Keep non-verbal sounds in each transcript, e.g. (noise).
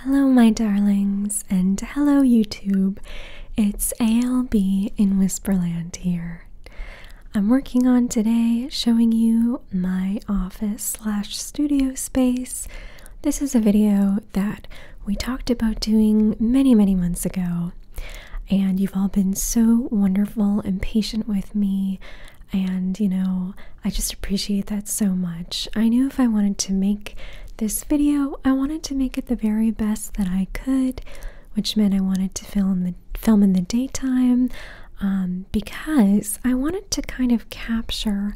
Hello, my darlings, and hello, YouTube. It's ALB in Whisperland here. I'm working on today showing you my office slash studio space. This is a video that we talked about doing many, many months ago, and you've all been so wonderful and patient with me. And you know, I just appreciate that so much. I knew if I wanted to make this video, I wanted to make it the very best that I could, which meant I wanted to film the film in the daytime um, because I wanted to kind of capture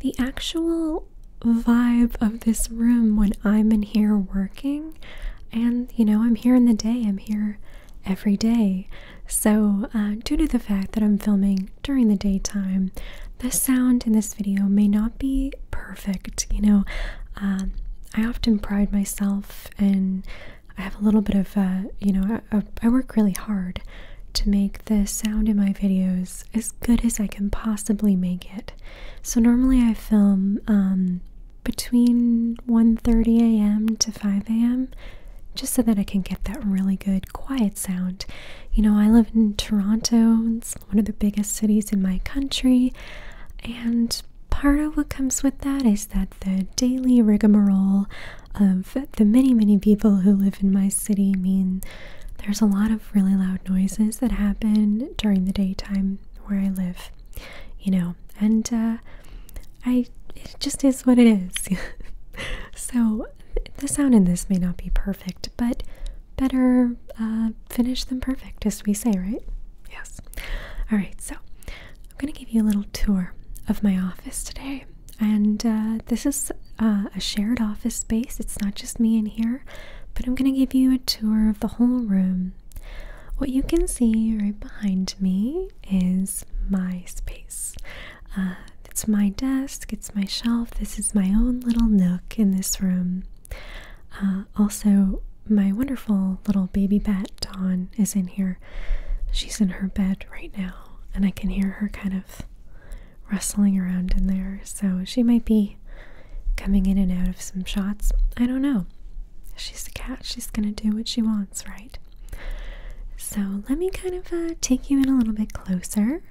the actual vibe of this room when I'm in here working. And you know, I'm here in the day, I'm here every day. So, uh, due to the fact that I'm filming during the daytime. The sound in this video may not be perfect, you know. Um, I often pride myself, and I have a little bit of, uh, you know, I, work really hard to make the sound in my videos as good as I can possibly make it. So normally I film um, between 1:30 a.m. to 5 a.m. just so that I can get that really good quiet sound. You know, I live in Toronto, it's one of the biggest cities in my country, and part of what comes with that is that the daily rigmarole of the many, many people who live in my city mean there's a lot of really loud noises that happen during the daytime where I live, you know, and uh, I it just is what it is. (laughs) so the sound in this may not be perfect, but better uh, finish finished than perfect, as we say, right? Yes. All right, so I'm going to give you a little tour of my office today. And uh, this is uh, a shared office space. It's not just me in here, but I'm going to give you a tour of the whole room. What you can see right behind me is my space. It's my desk, it's my shelf, this is my own little nook in this room. Uh, also, my wonderful little baby bat, Dawn, is in here. She's in her bed right now, and I can hear her kind of rustling around in there. So she might be coming in and out of some shots. I don't know. She's a cat, she's gonna do what she wants, right? So let me kind of uh, take you in a little bit closer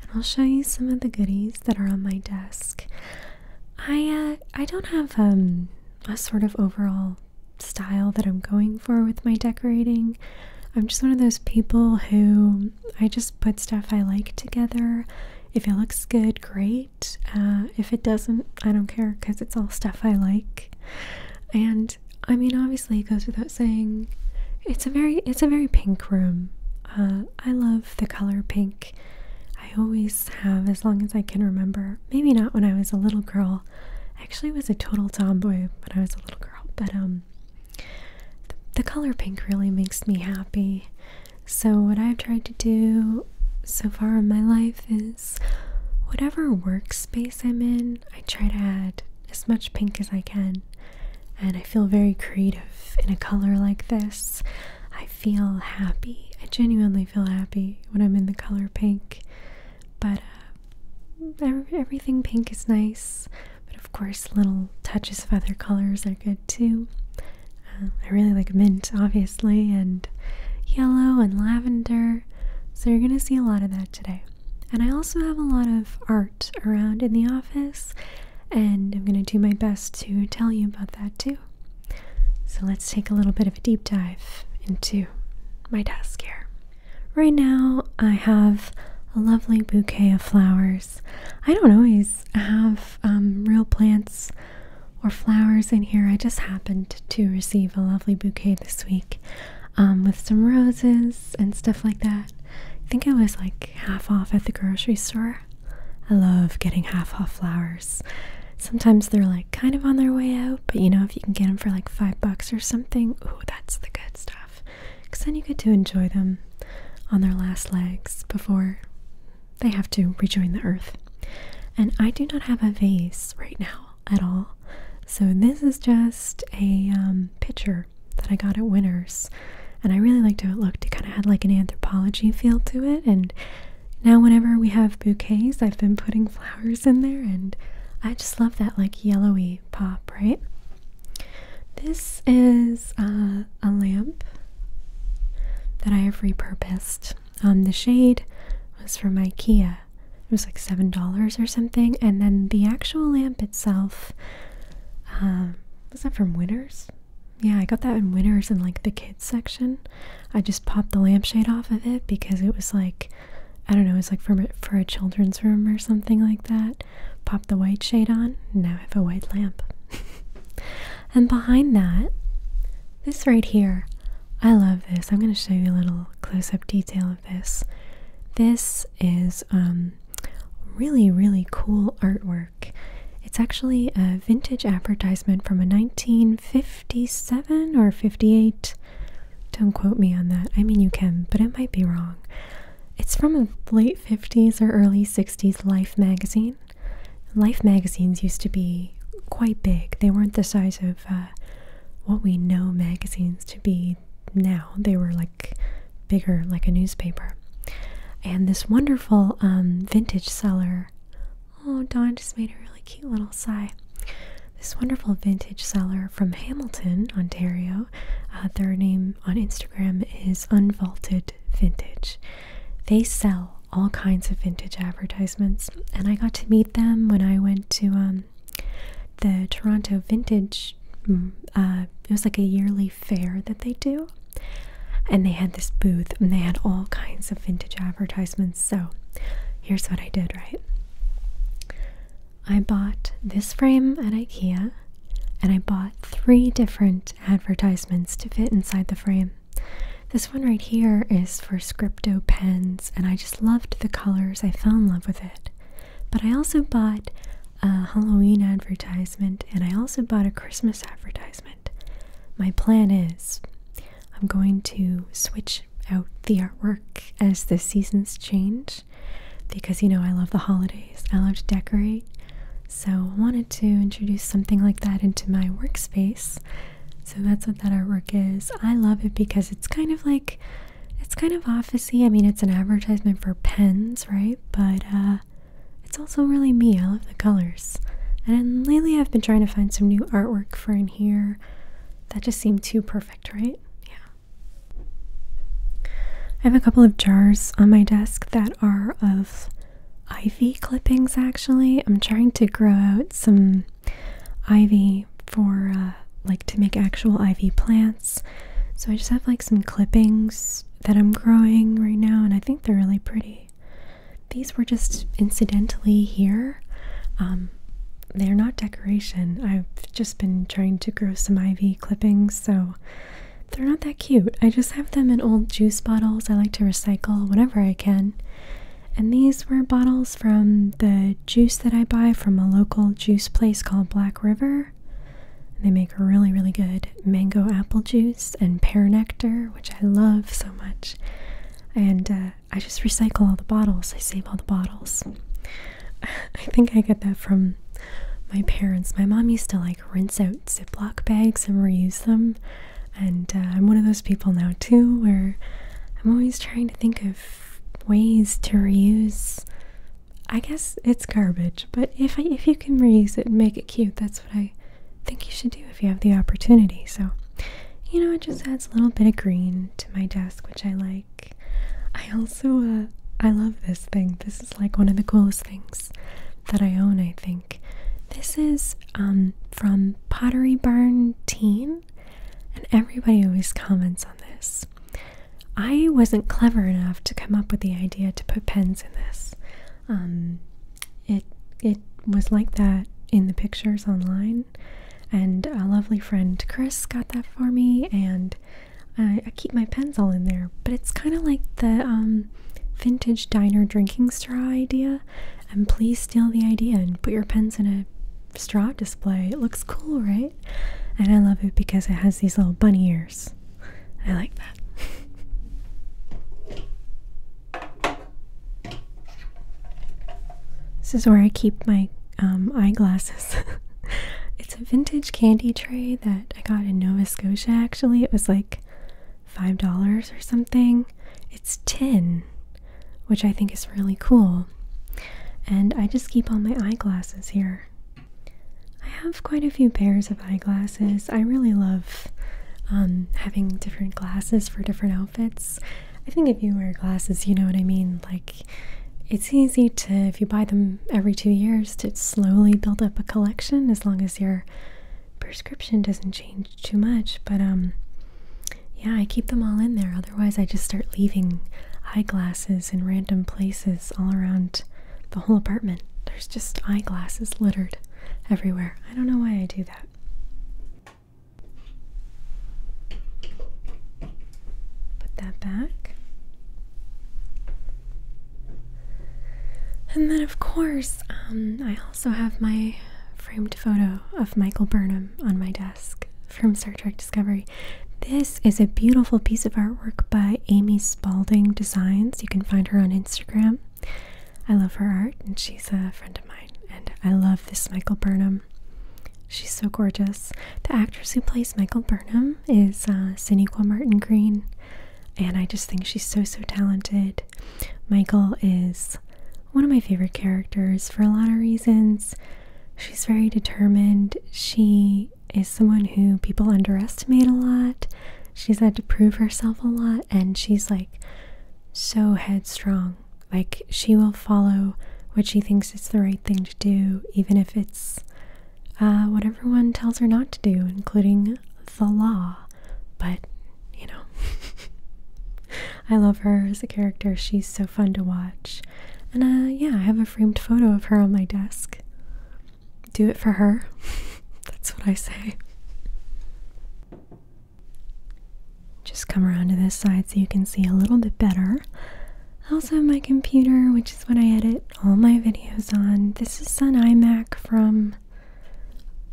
and I'll show you some of the goodies that are on my desk. I uh, I don't have um, a sort of overall style that I'm going for with my decorating. I'm just one of those people who I just put stuff I like together. If it looks good, great. Uh, if it doesn't, I don't care because it's all stuff I like. And I mean, obviously, it goes without saying, it's a very it's a very pink room. Uh, I love the color pink. I always have, as long as I can remember. Maybe not when I was a little girl. I actually was a total tomboy when I was a little girl, but um, the, color pink really makes me happy. So what I've tried to do so far in my life is whatever workspace I'm in, I try to add as much pink as I can and I feel very creative in a color like this. I feel happy. I genuinely feel happy when I'm in the color pink, but uh, everything pink is nice. But of course, little touches of other colors are good too. Uh, I really like mint, obviously, and yellow and lavender. So, you're going to see a lot of that today. And I also have a lot of art around in the office and I'm going to do my best to tell you about that too. So let's take a little bit of a deep dive into my desk here. Right now, I have a lovely bouquet of flowers. I don't always have um, real plants or flowers in here. I just happened to receive a lovely bouquet this week um, with some roses and stuff like that. I think it was like half off at the grocery store. I love getting half off flowers. Sometimes they're like kind of on their way out, but you know, if you can get them for like five bucks or something, ooh, that's the good stuff. Because then you get to enjoy them on their last legs before they have to rejoin the earth. And I do not have a vase right now at all. So this is just a um, pitcher that I got at Winners, and I really liked how it looked. It kind of had like an anthropology feel to it, and now whenever we have bouquets, I've been putting flowers in there, and I just love that like yellowy pop, right? This is uh, a lamp that I have repurposed. Um, the shade was from IKEA. It was like seven dollars or something, and then the actual lamp itself um, was that from Winners? Yeah, I got that in Winners in like the kids section. I just popped the lampshade off of it because it was like, I don't know, it was like for for a children's room or something like that. Popped the white shade on. Now I have a white lamp. (laughs) and behind that, this right here, I love this. I'm going to show you a little close-up detail of this. This is um, really, really cool artwork. It's actually a vintage advertisement from a 1957 or 58. Don't quote me on that. I mean, you can, but it might be wrong. It's from a late 50s or early 60s Life magazine. Life magazines used to be quite big, they weren't the size of uh, what we know magazines to be now. They were like bigger, like a newspaper. And this wonderful um, vintage seller. Oh, Don just made a really cute little sigh. This wonderful vintage seller from Hamilton, Ontario. Uh, their name on Instagram is Unvaulted Vintage. They sell all kinds of vintage advertisements, and I got to meet them when I went to um, the Toronto Vintage. Mm, uh, it was like a yearly fair that they do, and they had this booth and they had all kinds of vintage advertisements. So here's what I did, right? I bought this frame at IKEA and I bought three different advertisements to fit inside the frame. This one right here is for Scripto pens and I just loved the colors. I fell in love with it. But I also bought a Halloween advertisement, and I also bought a Christmas advertisement. My plan is I'm going to switch out the artwork as the seasons change because you know I love the holidays, I love to decorate. So I wanted to introduce something like that into my workspace. So that's what that artwork is. I love it because it's kind of like it's kind of officey. I mean, it's an advertisement for pens, right? But uh, it's also really me. I love the colors. And lately I've been trying to find some new artwork for in here. That just seemed too perfect, right? Yeah. I have a couple of jars on my desk that are of ivy clippings, actually. I'm trying to grow out some ivy for, uh, like, to make actual ivy plants. So I just have, like, some clippings that I'm growing right now, and I think they're really pretty. These were just incidentally here. Um, they're not decoration. I've just been trying to grow some ivy clippings, so they're not that cute. I just have them in old juice bottles. I like to recycle whenever I can. And these were bottles from the juice that I buy from a local juice place called Black River. They make really, really good mango apple juice and pear nectar, which I love so much. And uh, I just recycle all the bottles, I save all the bottles. (laughs) I think I get that from my parents. My mom used to like rinse out Ziploc bags and reuse them. And uh, I'm one of those people now, too, where I'm always trying to think of ways to reuse. I guess it's garbage, but if if you can reuse it and make it cute, that's what I think you should do if you have the opportunity. So, you know, it just adds a little bit of green to my desk, which I like. I also, uh, I love this thing. This is like one of the coolest things that I own, I think. This is um, from Pottery Barn Teen, and everybody always comments on this. I wasn't clever enough to come up with the idea to put pens in this. Um, it it was like that in the pictures online, and a lovely friend Chris got that for me, and I, I keep my pens all in there. But it's kind of like the um, vintage diner drinking straw idea. And please steal the idea and put your pens in a straw display. It looks cool, right? And I love it because it has these little bunny ears I like that. this is where I keep my um, eyeglasses. (laughs) it's a vintage candy tray that I got in Nova Scotia, actually. It was like $5 or something. It's tin, which I think is really cool. And I just keep all my eyeglasses here. I have quite a few pairs of eyeglasses. I really love um, having different glasses for different outfits. I think if you wear glasses, you know what I mean. Like, it's easy to, if you buy them every two years, to slowly build up a collection as long as your prescription doesn't change too much. But, um, yeah, I keep them all in there. Otherwise, I just start leaving eyeglasses in random places all around the whole apartment. There's just eyeglasses littered everywhere. I don't know why I do that. Put that back. And then, of course, um, I also have my framed photo of Michael Burnham on my desk from Star Trek Discovery. This is a beautiful piece of artwork by Amy Spalding Designs. You can find her on Instagram. I love her art, and she's a friend of mine. And I love this Michael Burnham. She's so gorgeous. The actress who plays Michael Burnham is uh, Martin Green, and I just think she's so, so talented. Michael is one of my favorite characters for a lot of reasons. She's very determined. She is someone who people underestimate a lot. She's had to prove herself a lot and she's like so headstrong. Like, she will follow what she thinks is the right thing to do, even if it's uh, what everyone tells her not to do, including the law. But, you know, (laughs) I love her as a character. She's so fun to watch. And uh, yeah, I have a framed photo of her on my desk do it for her. (laughs) That's what I say. Just come around to this side so you can see a little bit better. I also have my computer, which is what I edit all my videos on. This is an iMac from,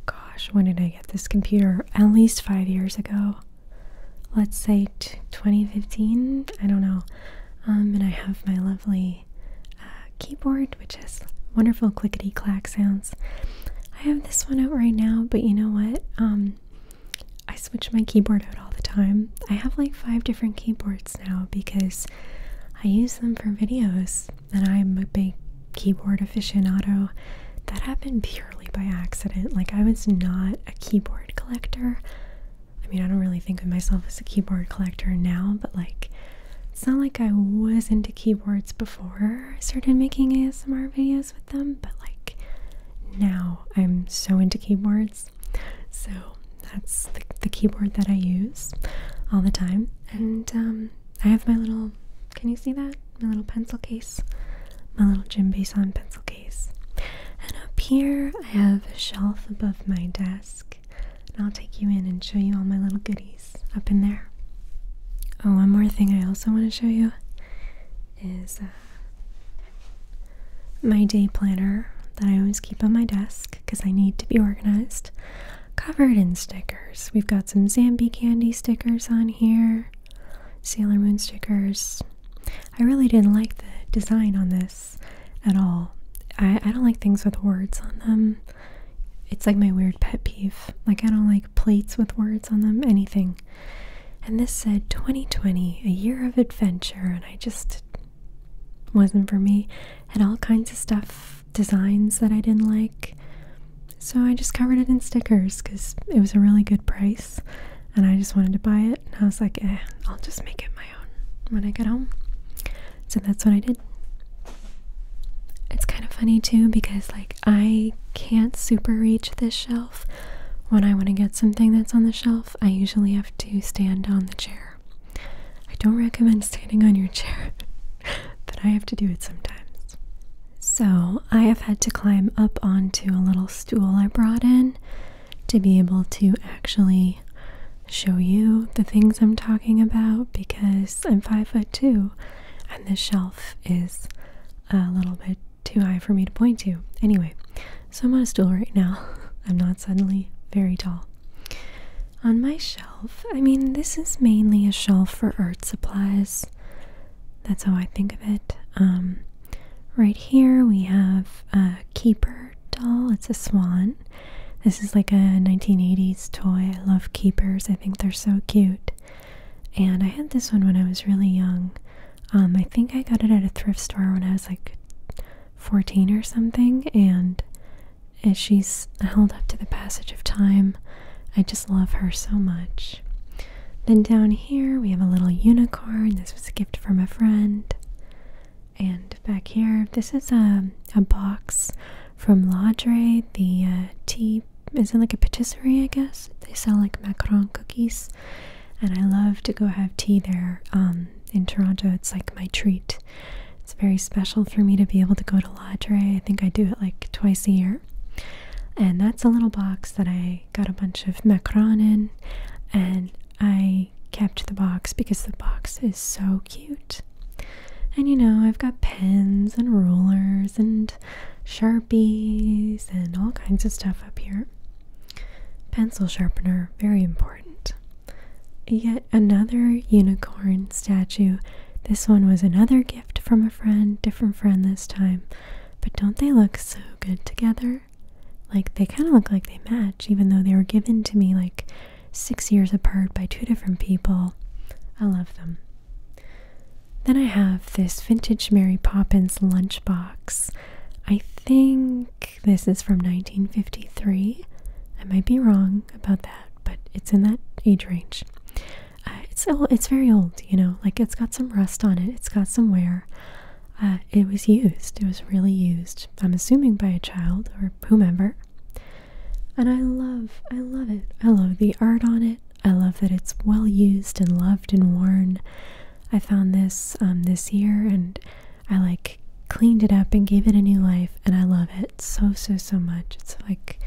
gosh, when did I get this computer? At least five years ago. Let's say 2015, I don't know. Um, and I have my lovely keyboard, which has wonderful clickety clack sounds. I have this one out right now, but you know what? Um, I switch my keyboard out all the time. I have like five different keyboards now because I use them for videos, and I'm a big keyboard aficionado. That happened purely by accident. Like, I was not a keyboard collector. I mean, I don't really think of myself as a keyboard collector now, but like, it's not like I was into keyboards before I started making ASMR videos with them, but like now I'm so into keyboards. So that's the, keyboard that I use all the time. And um, I have my little, can you see that? My little pencil case, my little Jim Bason pencil case. And up here I have a shelf above my desk. And I'll take you in and show you all my little goodies up in there. Oh, one more thing I also want to show you is uh, my day planner that I always keep on my desk because I need to be organized. Covered in stickers. We've got some Zambi candy stickers on here, Sailor Moon stickers. I really didn't like the design on this at all. I don't like things with words on them. It's like my weird pet peeve. Like, I don't like plates with words on them, anything. And this said 2020, a year of adventure, and I just wasn't for me. Had all kinds of stuff, designs that I didn't like. So I just covered it in stickers because it was a really good price and I just wanted to buy it. And I was like, eh, I'll just make it my own when I get home. So that's what I did. It's kind of funny too because, like, I can't super reach this shelf. When I want to get something that's on the shelf, I usually have to stand on the chair. I don't recommend standing on your chair, (laughs) but I have to do it sometimes. So I have had to climb up onto a little stool I brought in to be able to actually show you the things I'm talking about because I'm five foot two and this shelf is a little bit too high for me to point to. Anyway, so I'm on a stool right now. (laughs) I'm not suddenly very tall. On my shelf, I mean, this is mainly a shelf for art supplies. That's how I think of it. Um, right here we have a Keeper doll. It's a swan. This is like a 1980s toy. I love Keepers. I think they're so cute. And I had this one when I was really young. Um, I think I got it at a thrift store when I was like 14 or something. And as she's held up to the passage of time, I just love her so much. Then down here we have a little unicorn. This was a gift from a friend. And back here, this is a, a box from Lodre. The uh, tea is in like a patisserie, I guess. They sell like macaron cookies, and I love to go have tea there. Um, in Toronto, it's like my treat. It's very special for me to be able to go to Lodre. I think I do it like twice a year. And that's a little box that I got a bunch of macaron in, and I kept the box because the box is so cute. And you know, I've got pens and rulers and sharpies and all kinds of stuff up here. Pencil sharpener, very important. Yet another unicorn statue. This one was another gift from a friend, different friend this time. But don't they look so good together? Like they kind of look like they match, even though they were given to me like six years apart by two different people. I love them. Then I have this vintage Mary Poppins lunchbox. I think this is from 1953. I might be wrong about that, but it's in that age range. Uh, it's it's very old, you know. Like it's got some rust on it. It's got some wear. Uh, it was used. It was really used. I'm assuming by a child or whomever. And I love, I love it. I love the art on it. I love that it's well used and loved and worn. I found this um, this year and I like cleaned it up and gave it a new life and I love it so so so much. It's like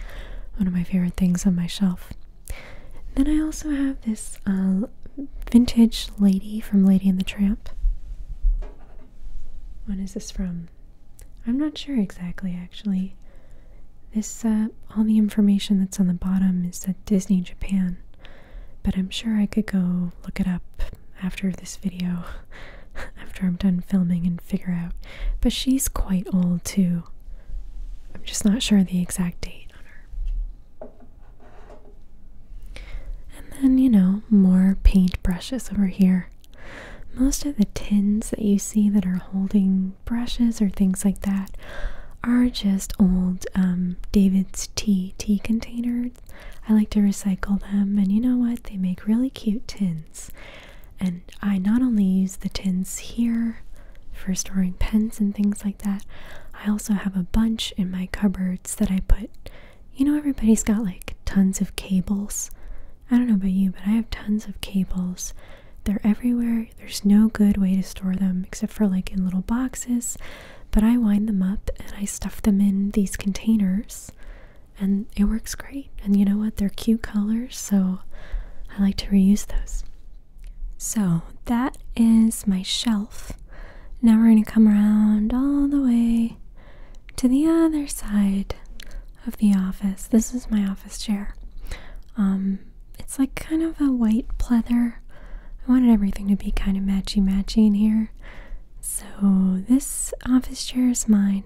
one of my favorite things on my shelf. Then I also have this uh, vintage lady from Lady and the Tramp. When is this from? I'm not sure exactly actually. This, uh, all the information that's on the bottom is at Disney Japan, but I'm sure I could go look it up after this video, (laughs) after I'm done filming and figure out. But she's quite old too. I'm just not sure the exact date on her. And then, you know, more paint brushes over here. Most of the tins that you see that are holding brushes or things like that are just old um, David's tea tea containers. I like to recycle them, and you know what? They make really cute tins. And I not only use the tins here for storing pens and things like that, I also have a bunch in my cupboards that I put. You know, everybody's got like tons of cables. I don't know about you, but I have tons of cables they're everywhere. There's no good way to store them except for like in little boxes. But I wind them up and I stuff them in these containers and it works great. And you know what? They're cute colors, so I like to reuse those. So that is my shelf. Now we're going to come around all the way to the other side of the office. This is my office chair. Um, it's like kind of a white pleather. I wanted everything to be kind of matchy matchy in here. So this office chair is mine.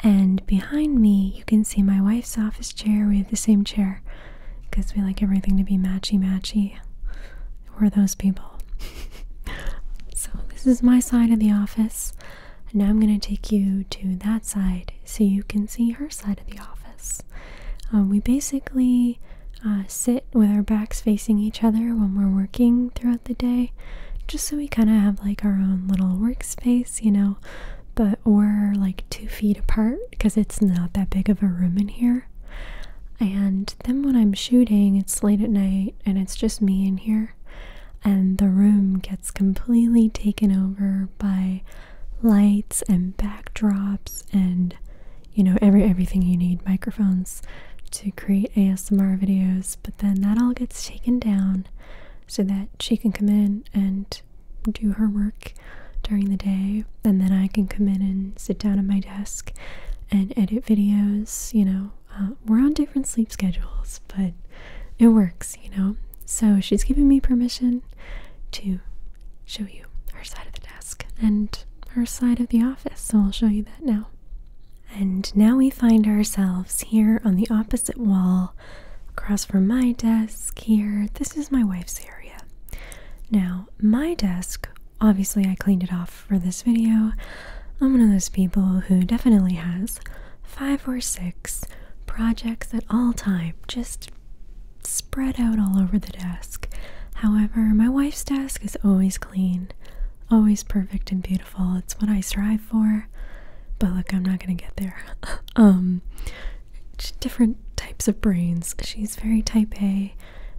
And behind me, you can see my wife's office chair. We have the same chair because we like everything to be matchy matchy. We're those people. (laughs) so, this is my side of the office. And now I'm going to take you to that side so you can see her side of the office. Um, we basically uh, sit with our backs facing each other when we're working throughout the day, just so we kind of have like our own little workspace, you know. But we're like two feet apart because it's not that big of a room in here. And then when I'm shooting, it's late at night and it's just me in here, and the room gets completely taken over by lights and backdrops and you know every everything you need microphones to create ASMR videos but then that all gets taken down so that she can come in and do her work during the day and then I can come in and sit down at my desk and edit videos you know uh, we're on different sleep schedules but it works you know so she's giving me permission to show you her side of the desk and her side of the office. So I'll show you that now. And now we find ourselves here on the opposite wall, across from my desk here. This is my wife's area. Now, my desk, obviously, I cleaned it off for this video. I'm one of those people who definitely has five or six projects at all time, just spread out all over the desk. However, my wife's desk is always clean, always perfect and beautiful. It's what I strive for. But look, I'm not going to get there. (laughs) um different types of brains. She's very type A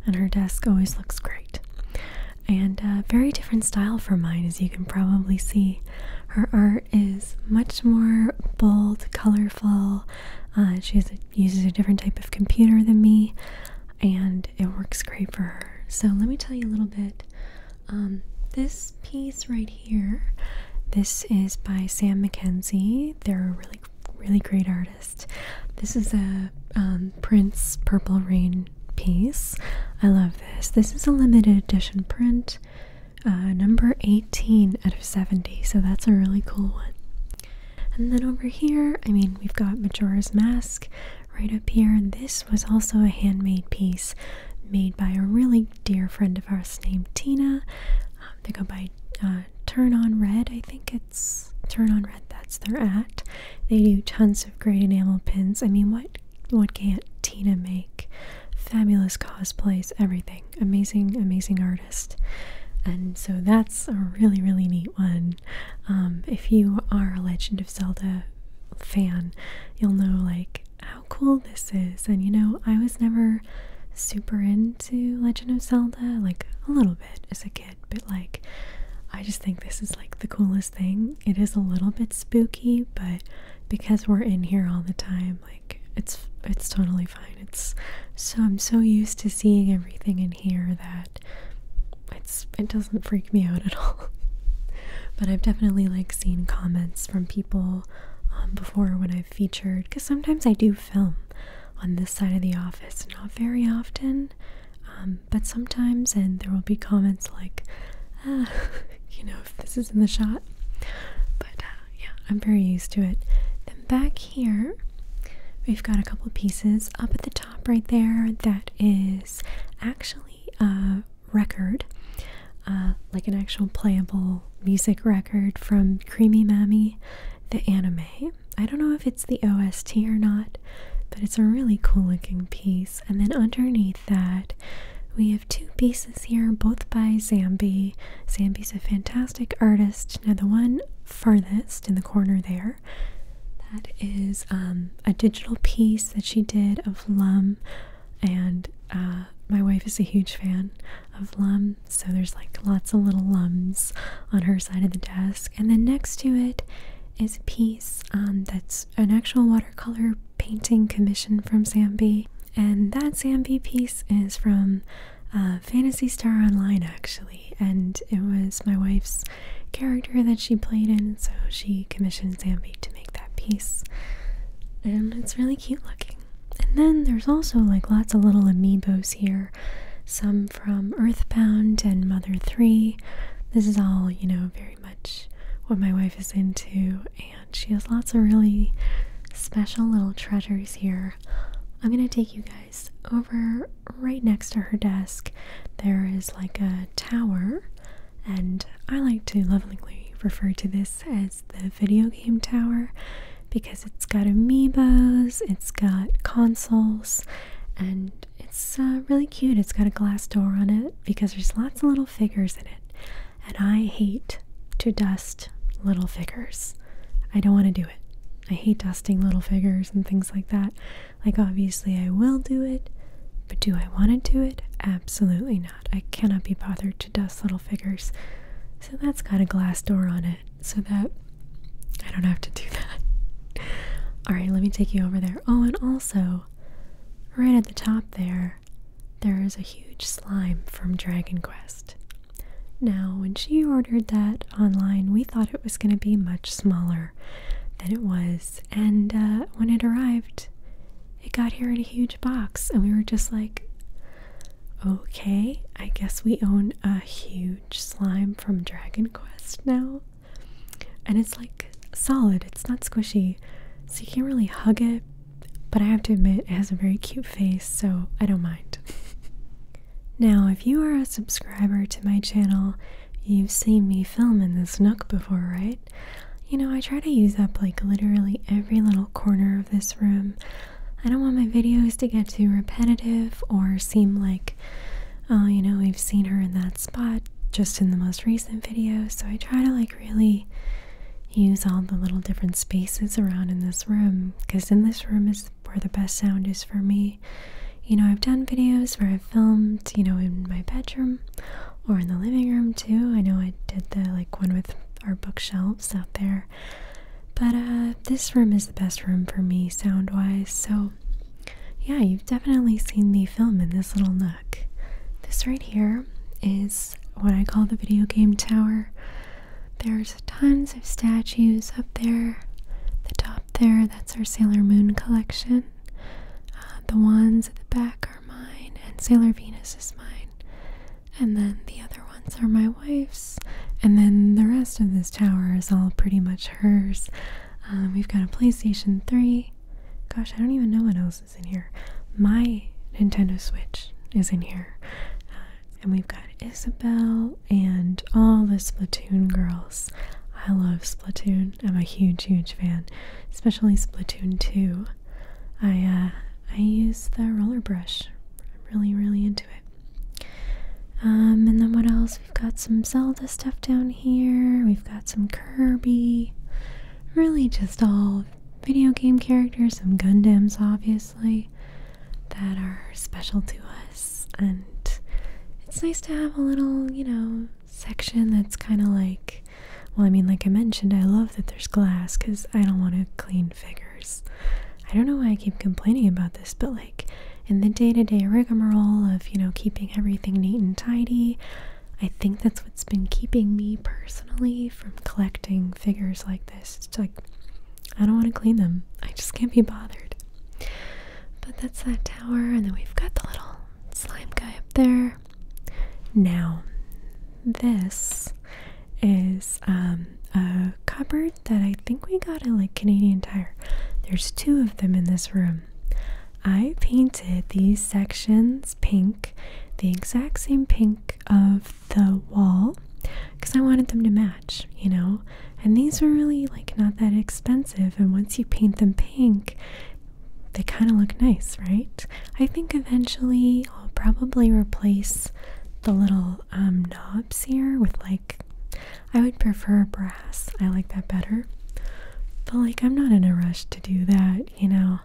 and her desk always looks great. And uh, very different style from mine, as you can probably see. Her art is much more bold, colorful, uh, she uses a different type of computer than me, and it works great for her. So let me tell you a little bit. Um, this piece right here, this is by Sam McKenzie. They're a really, really great artist. This is a um, Prince Purple Rain piece. I love this. This is a limited edition print uh, number 18 out of 70, so that's a really cool one. And then over here, I mean, we've got Majora's Mask right up here. This was also a handmade piece made by a really dear friend of ours named Tina. Um, they go by uh, Turn On Red, I think it's Turn On Red, that's their at. They do tons of great enamel pins. I mean, what, what can't Tina make? Fabulous cosplays, everything. Amazing, amazing art. And so that's a really, really neat one. Um, if you are a Legend of Zelda fan, you'll know like how cool this is. And you know, I was never super into Legend of Zelda, like a little bit as a kid, but like I just think this is like the coolest thing. It is a little bit spooky, but because we're in here all the time, like it's it's totally fine. It's so I'm so used to seeing everything in here that it's it doesn't freak me out at (laughs) all. but I've definitely like seen comments from people um, before when I've featured because sometimes I do film on this side of the office, not very often, um, but sometimes, and there will be comments like, ah, (laughs) you know, if this is in the shot. But uh, yeah, I'm very used to it. Then back here, we've got a couple pieces up at the top right there that is actually a record, uh, like an actual playable music record from Creamy Mammy, the anime. I don't know if it's the OST or not, but it's a really cool looking piece. And then underneath that, we have two pieces here, both by Zambi. Zambi's a fantastic artist. Now, the one farthest in the corner there, that is um, a digital piece that she did of Lum. And uh, my wife is a huge fan of Lum, so there's like lots of little Lums on her side of the desk. And then next to it is a piece um, that's an actual watercolor painting commission from Zambi. And that Zambi piece is from Fantasy Star Online actually, and it was my wife's character that she played in, so she commissioned Zambi to make that piece, and it's really cute looking. And then there's also like lots of little amiibos here, some from Earthbound and Mother 3. This is all, you know, very much what my wife is into, and she has lots of really special little treasures here I'm gonna take you guys over right next to her desk. There is like a tower, and I like to lovingly refer to this as the video game tower because it's got amiibos, it's got consoles, and it's uh, really cute. It's got a glass door on it because there's lots of little figures in it, and I hate to dust little figures. I don't want to do it. I hate dusting little figures and things like that. Like, obviously, I will do it, but do I want to do it? Absolutely not. I cannot be bothered to dust little figures. So, that's got a glass door on it so that I don't have to do that. (laughs) All right, let me take you over there. Oh, and also, right at the top there, there is a huge slime from Dragon Quest. Now, when she ordered that online, we thought it was going to be much smaller than it was. And uh, when it arrived, it got here in a huge box. And we were just like, okay, I guess we own a huge slime from Dragon Quest now. And it's like solid, it's not squishy. So you can't really hug it. But I have to admit, it has a very cute face, so I don't mind. (laughs) Now, if you are a subscriber to my channel, you've seen me film in this nook before, right? You know, I try to use up like literally every little corner of this room. I don't want my videos to get too repetitive or seem like, oh, you know, we've seen her in that spot just in the most recent video. So I try to like really use all the little different spaces around in this room because in this room is where the best sound is for me. You know, I've done videos where I've filmed, you know, in my bedroom or in the living room too. I know I did the like one with our bookshelves out there. But uh, this room is the best room for me sound wise. So, yeah, you've definitely seen the film in this little nook. This right here is what I call the video game tower. There's tons of statues up there. The top there, that's our Sailor Moon collection. Uh, the ones at the back are mine, and Sailor Venus is mine. And then the other ones are my wife's. And then the rest of this tower is all pretty much hers. Um, we've got a PlayStation 3. Gosh, I don't even know what else is in here. My Nintendo Switch is in here. Uh, and we've got Isabel and all the Splatoon girls. I love Splatoon. I'm a huge, huge fan, especially Splatoon 2. I uh, I use the roller brush. I'm really, really into it. Um, and then what else? We've got some Zelda stuff down here. We've got some Kirby. Really, just all video game characters. Some Gundams, obviously that are special to us. And it's nice to have a little, you know, section that's kind of like, well, I mean, like I mentioned, I love that there's glass because I don't want to clean figures. I don't know why I keep complaining about this, but like in the day to day rigmarole of, you know, keeping everything neat and tidy, I think that's what's been keeping me personally from collecting figures like this. It's like I don't want to clean them. I just can't be bothered. But that's that tower, and then we've got the little slime guy up there. Now, this is um, a cupboard that I think we got at like Canadian Tire. There's two of them in this room. I painted these sections pink, the exact same pink of the wall, because I wanted them to match you know? And these are really like not that expensive. And once you paint them pink, they kind of look nice, right? I think eventually I'll probably replace the little um, knobs here with like, I would prefer brass. I like that better. But like, I'm not in a rush to do that, you know?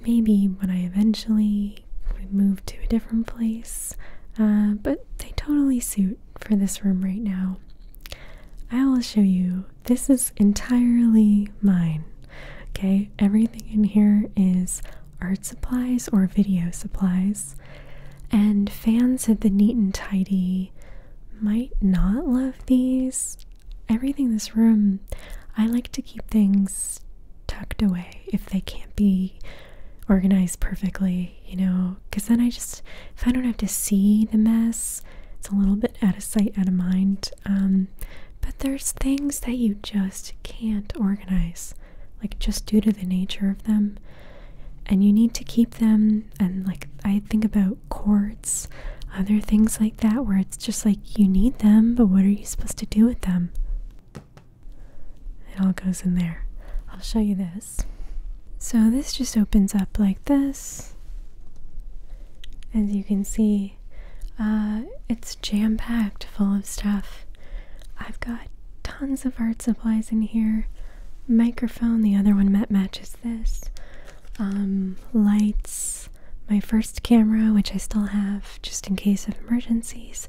Maybe when I eventually move to a different place uh, but they totally suit for this room right now. I will show you. This is entirely mine. Okay, everything in here is art supplies or video supplies. And fans of the neat and tidy might not love these. Everything in this room, I like to keep things tucked away if they can't be organized perfectly you know, because then I just, if I don't have to see the mess, it's a little bit out of sight, out of mind. Um, but there's things that you just can't organize, like just due to the nature of them. And you need to keep them. And like, I think about cords, other things like that, where it's just like you need them, but what are you supposed to do with them? It all goes in there. I'll show you this. So this just opens up like this. As you can see, uh, it's jam-packed full of stuff. I've got tons of art supplies in here. Microphone, the other one matches this. Um, lights, my first camera, which I still have just in case of emergencies.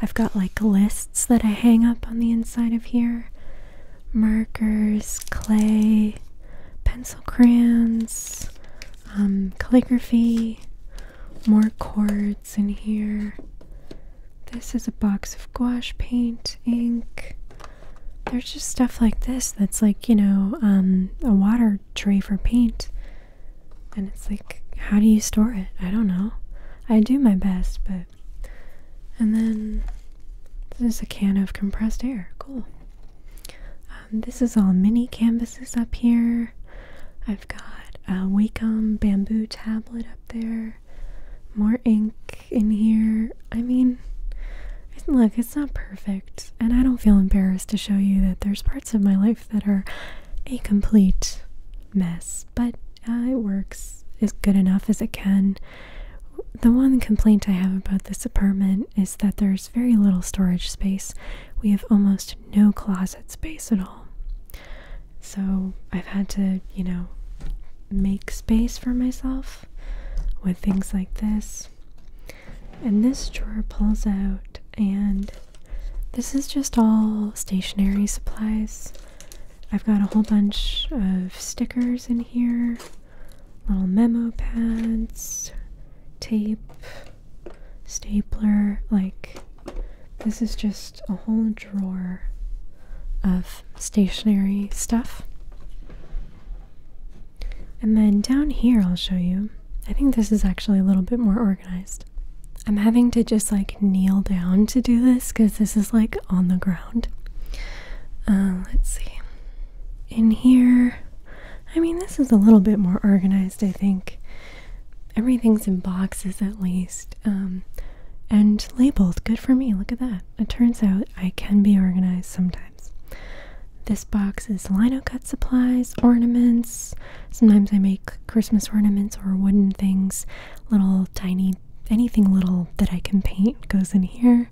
I've got like a list that I hang up on the inside of here markers, clay, pencil crayons, um, calligraphy, more cords in here. This is a box of gouache paint, ink. There's just stuff like this that's like, you know, um, a water tray for paint. And it's like, how do you store it? I don't know. I do my best, but and then this a can of compressed air. Cool. Um, this is all mini canvases up here. I've got a Wacom bamboo tablet up there. More ink in here. I mean, look, it's not perfect. And I don't feel embarrassed to show you that there's parts of my life that are a complete mess. But uh, it works is good enough as it can. The one complaint I have about this apartment is that there's very little storage space. We have almost no closet space at all. So I've had to, you know, make space for myself with things like this. And this drawer pulls out, and this is just all stationery supplies. I've got a whole bunch of stickers in here, little memo pads, tape, stapler. Like, this is just a whole drawer of stationery stuff. And then down here, I'll show you. I think this is actually a little bit more organized. I'm having to just like kneel down to do this because this is like on the ground. Um, let's see. In here, I mean, this is a little bit more organized, I think. Everything's in boxes at least. Um, and labeled. Good for me. Look at that. It turns out I can be organized sometimes. This box is lino cut supplies, ornaments. Sometimes I make Christmas ornaments or wooden things, little tiny anything little that I can paint goes in here.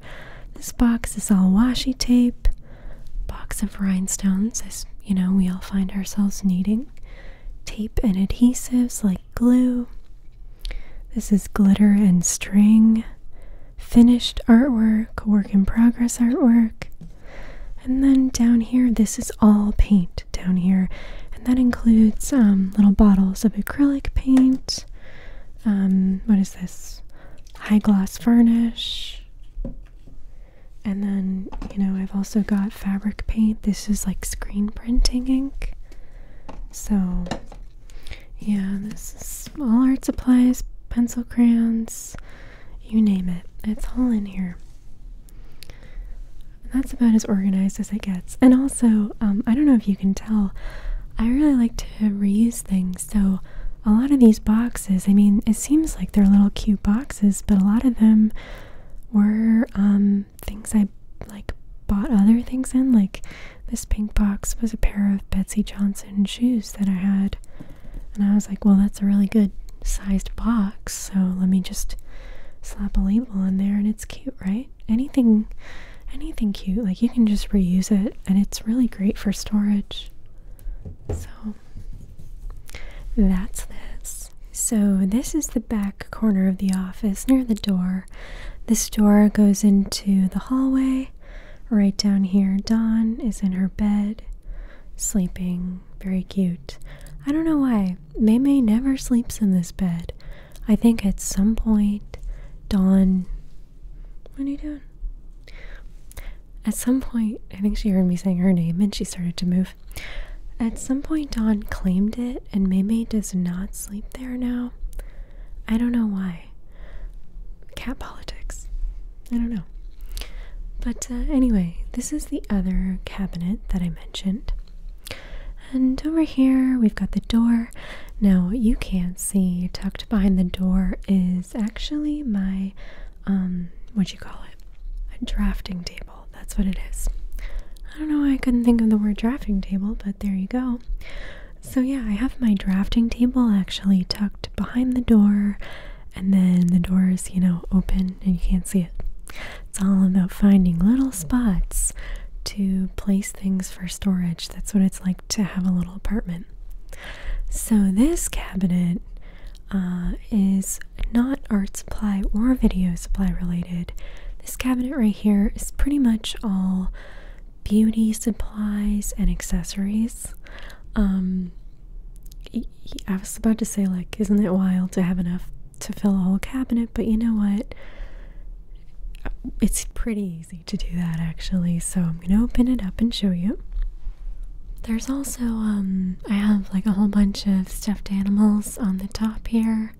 This box is all washi tape, box of rhinestones, as you know, we all find ourselves needing. Tape and adhesives like glue. This is glitter and string, finished artwork, work in progress artwork. And then down here, this is all paint down here, and that includes um, little bottles of acrylic paint. Um, what is this? High gloss varnish. And then, you know, I've also got fabric paint. This is like screen printing ink. So, yeah, this is all art supplies, pencil crayons, you name it. It's all in here that's about as organized as it gets. And also, um, I don't know if you can tell, I really like to reuse things. So, a lot of these boxes, I mean, it seems like they're little cute boxes, but a lot of them were um, things I like bought other things in. Like, this pink box was a pair of Betsy Johnson shoes that I had. And I was like, well, that's a really good sized box, so let me just slap a label on there and it's cute, right? Anything anything cute, like you can just reuse it and it's really great for storage. So that's this. So this is the back corner of the office near the door. This door goes into the hallway. Right down here, Dawn is in her bed, sleeping. Very cute. I don't know why. Maymay never sleeps in this bed. I think at some point, Dawn. What are you doing? At some point, I think she heard me saying her name and she started to move. At some point, Dawn claimed it, and Maymay does not sleep there now. I don't know why. Cat politics. I don't know. But uh, anyway, this is the other cabinet that I mentioned. And over here we've got the door. Now you can't see tucked behind the door is actually my um what you call it? A drafting table. That's what it is. I don't know why I couldn't think of the word drafting table, but there you go. So yeah, I have my drafting table actually tucked behind the door and then the door is, you know, open and you can't see it. It's all about finding little spots to place things for storage. That's what it's like to have a little apartment. So, this cabinet uh, is not art supply or video supply related. This cabinet right here is pretty much all beauty supplies and accessories. Um, I was about to say, like, isn't it wild to have enough to fill a whole cabinet? But you know what? it's pretty easy to do that actually. So I'm gonna open it up and show you. There's also um, I have like a whole bunch of stuffed animals on the top here.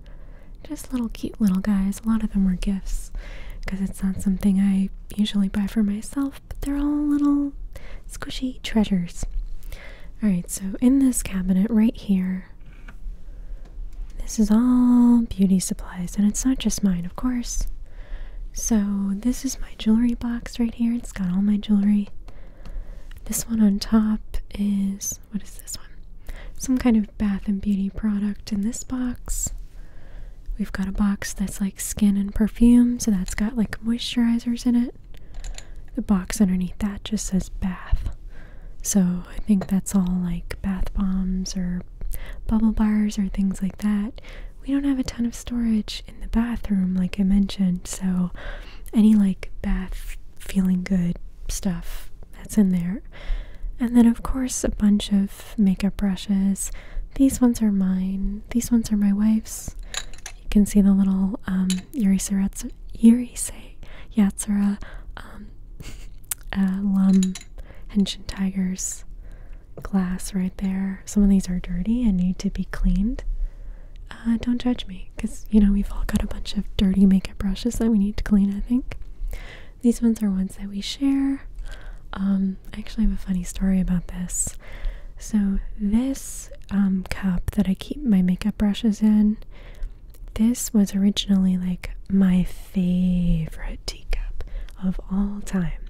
Just little cute little guys. A lot of them were gifts because it's not something I usually buy for myself, but they're all little squishy treasures. Alright, so in this cabinet right here, this is all beauty supplies, and it's not just mine, of course. So, this is my jewelry box right here. It's got all my jewelry. This one on top is what is this one? Some kind of bath and beauty product in this box. We've got a box that's like skin and perfume, so that's got like moisturizers in it. The box underneath that just says bath. So I think that's all like bath bombs or bubble bars or things like that. We don't have a ton of storage in the bathroom, like I mentioned, so any like bath feeling good stuff that's in there. And then, of course, a bunch of makeup brushes. These ones are mine, these ones are my wife's. You can see the little um, Yurisei Yatsura um, (laughs) uh, Henshin Tiger's glass right there. Some of these are dirty and need to be cleaned. Uh, don't judge me because you know we've all got a bunch of dirty makeup brushes that we need to clean, I think. These ones are ones that we share. Um, I actually have a funny story about this. So, this um, cup that I keep my makeup brushes in this was originally like my favorite teacup of all time.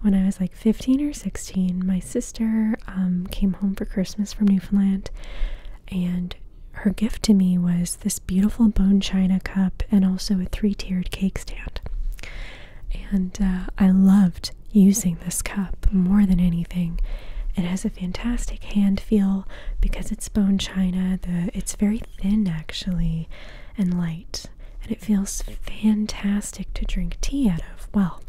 When I was like 15 or 16, my sister um, came home for Christmas from Newfoundland, and her gift to me was this beautiful bone china cup and also a three tiered cake stand. And uh, I loved using this cup more than anything. It has a fantastic hand feel because it's bone china. The it's very thin actually and light, and it feels fantastic to drink tea out of. Well,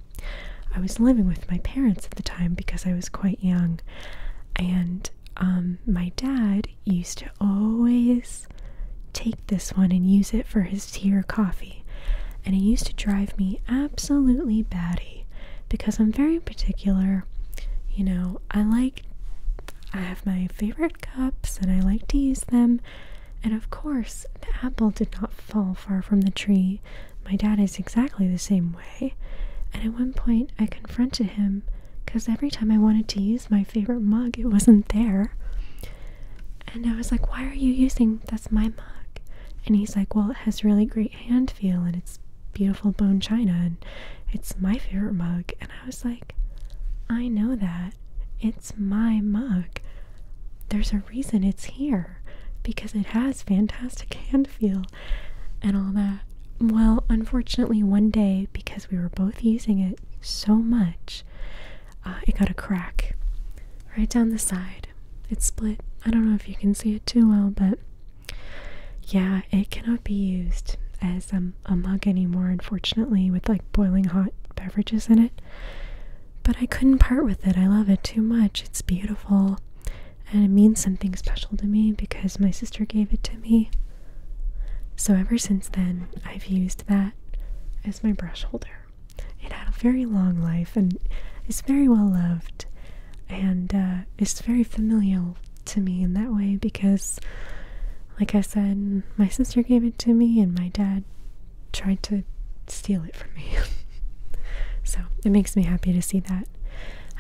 I was living with my parents at the time because I was quite young, and um, my dad used to always take this one and use it for his tea or coffee, and it used to drive me absolutely batty because I'm very particular. You know, I like I have my favorite cups and I like to use them. And of course, the apple did not fall far from the tree. My dad is exactly the same way. And at one point, I confronted him because every time I wanted to use my favorite mug, it wasn't there. And I was like, Why are you using that's my mug? And he's like, Well, it has really great hand feel and it's beautiful bone china and it's my favorite mug. And I was like, I know that. It's my mug. There's a reason it's here because it has fantastic hand feel and all that. Well, unfortunately, one day, because we were both using it so much, uh, it got a crack right down the side. It split. I don't know if you can see it too well, but yeah, it cannot be used as a um, um, a mug anymore, unfortunately, with like boiling hot beverages in it. But I couldn't part with it. I love it too much. It's beautiful and it means something special to me because my sister gave it to me. So ever since then, I've used that as my brush holder. It had a very long life and it's very well loved and uh, it's very familial to me in that way because, like I said, my sister gave it to me and my dad tried to steal it from me. (laughs) so it makes me happy to see that.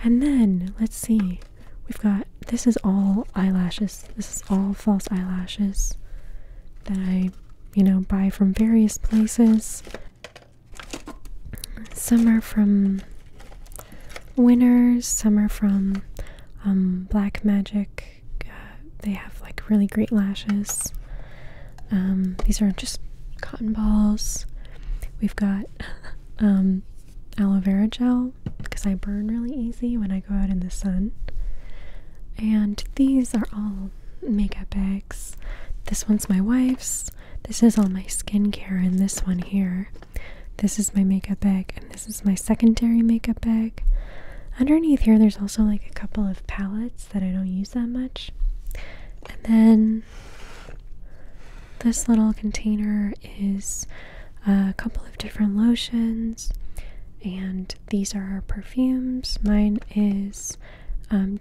And then, let's see, we've got this is all eyelashes, this is all false eyelashes that I, you know, buy from various places. Some are from winners. Some are from um, Black Magic. Uh, they have like really great lashes. Um, these are just cotton balls. We've got (laughs) um, aloe vera gel because I burn really easy when I go out in the sun. And these are all makeup bags. This one's my wife's. This is all my skincare in this one here. This is my makeup bag, and this is my secondary makeup bag. Underneath here, there's also like a couple of palettes that I don't use that much. And then this little container is a couple of different lotions, and these are our perfumes. Mine is um,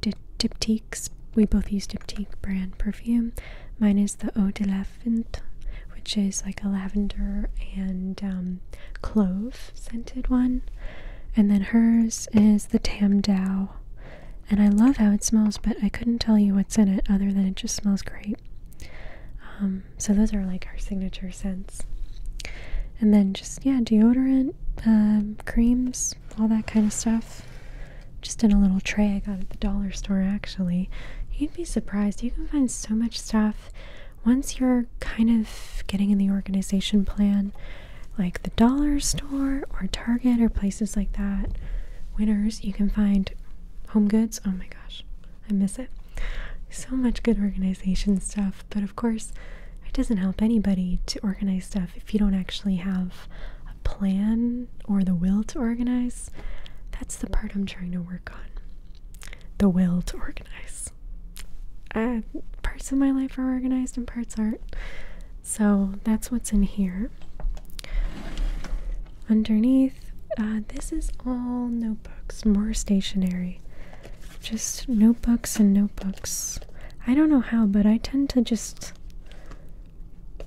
we both use Diptyque brand perfume. Mine is the Eau de la lavent, which is like a lavender and um, clove scented one. And then hers is the Tam Dao. And I love how it smells, but I couldn't tell you what's in it other than it just smells great. Um, so those are like our signature scents. And then just, yeah, deodorant, um, creams, all that kind of stuff. Just in a little tray I got at the dollar store, actually. You'd be surprised. You can find so much stuff once you're kind of getting in the organization plan, like the dollar store or Target or places like that, winners, you can find home goods. Oh my gosh, I miss it. So much good organization stuff, but of course, it doesn't help anybody to organize stuff if you don't actually have a plan or the will to organize. That's the part I'm trying to work on the will to organize. Uh, parts of my life are organized and parts aren't. So that's what's in here. Underneath, uh, this is all notebooks, more stationery. Just notebooks and notebooks. I don't know how, but I tend to just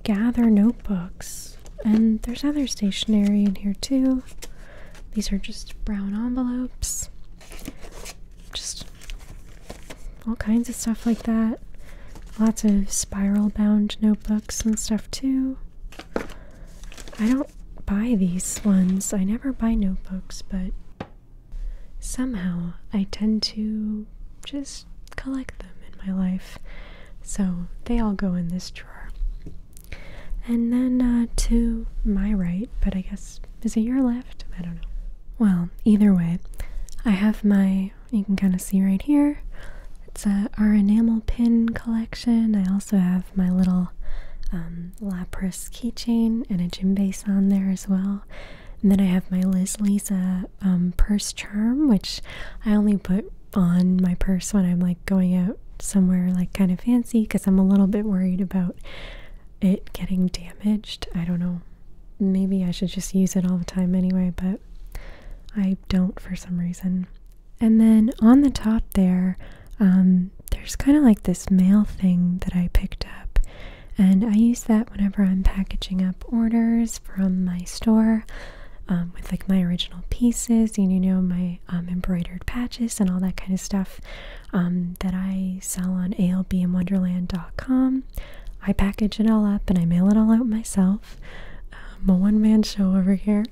gather notebooks. And there's other stationery in here too. These are just brown envelopes. Just all kinds of stuff like that. Lots of spiral bound notebooks and stuff too. I don't buy these ones. I never buy notebooks, but somehow I tend to just collect them in my life. So they all go in this drawer. And then uh, to my right, but I guess, is it your left? I don't know. Well, either way, I have my, you can kind of see right here, it's uh, our enamel pin collection. I also have my little um, Lapras keychain and a Gym Base on there as well. And then I have my Liz Lisa um, purse charm, which I only put on my purse when I'm like going out somewhere like kind of fancy because I'm a little bit worried about it getting damaged. I don't know. Maybe I should just use it all the time anyway, but I don't for some reason. And then on the top there, um, there's kind of like this mail thing that I picked up. And I use that whenever I'm packaging up orders from my store um, with like my original pieces. And you know, my um, embroidered patches and all that kind of stuff um, that I sell on albmwonderland.com. I package it all up and I mail it all out myself. I'm um, a one man show over here.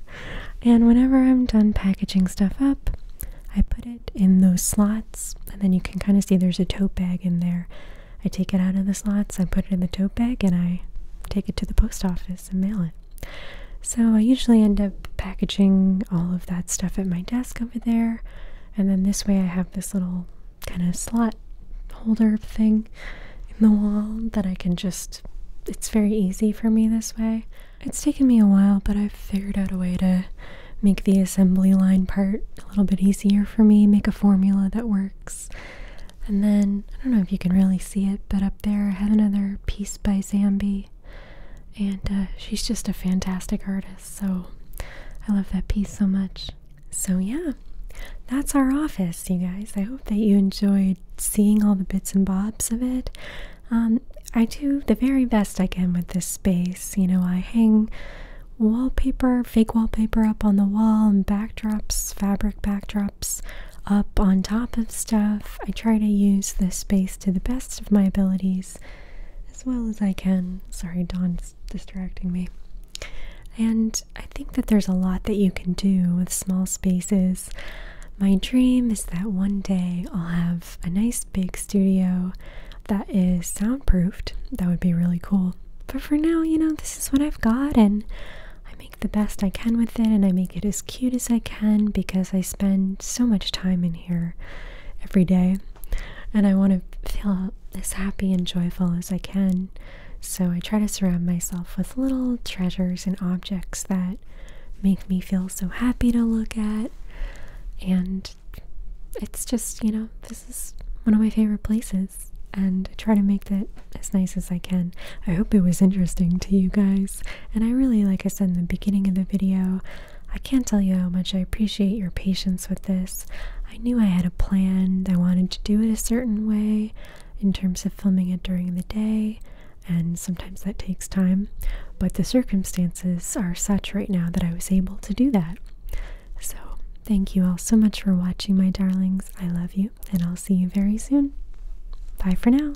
And whenever I'm done packaging stuff up, I put it in those slots, and then you can kind of see there's a tote bag in there. I take it out of the slots, I put it in the tote bag, and I take it to the post office office mail it. So I usually end up packaging all of that stuff at my desk over there. And then this way I have this little kind of slot holder thing in the wall that I can just, it's very easy for me this way. It's taken me a while, but i figured out a way to make the assembly line part a little bit easier for me, make a formula that works. And then, I don't know if you can really see it, but up there I have another piece by Zambi and uh, she's just a fantastic artist. So I love that piece so much. So, yeah, that's our office, you guys. I hope that you enjoyed seeing all the bits and bobs of it. Um, I do the very best I can with this space. You know, I hang wallpaper, fake wallpaper up on the wall, and backdrops, fabric backdrops up on top of stuff. I try to use the space to the best of my abilities as well as I can. Sorry, Dawn's distracting me. And I think that there's a lot that you can do with small spaces. My dream is that one day I'll have a nice big studio that is soundproofed. That would be really cool. But for now, you know, this is what I've got, and I make the best I can with it, and I make. Get as cute as I can because I spend so much time in here every day and I want to feel as happy and joyful as I can. So I try to surround myself with little treasures and objects that make me feel so happy to look at. And it's just, you know, this is one of my favorite places. And I try to make that as nice as I can. I hope it was interesting to you guys. And I really, like I said in the beginning of the video, I can't tell you how much I appreciate your patience with this. I knew I had a plan, I wanted to do it a certain way in terms of filming it during the day, and sometimes that takes time, but the circumstances are such right now that I was able to do that. So, thank you all so much for watching, my darlings. I love you, and I'll see you very soon. Bye for now.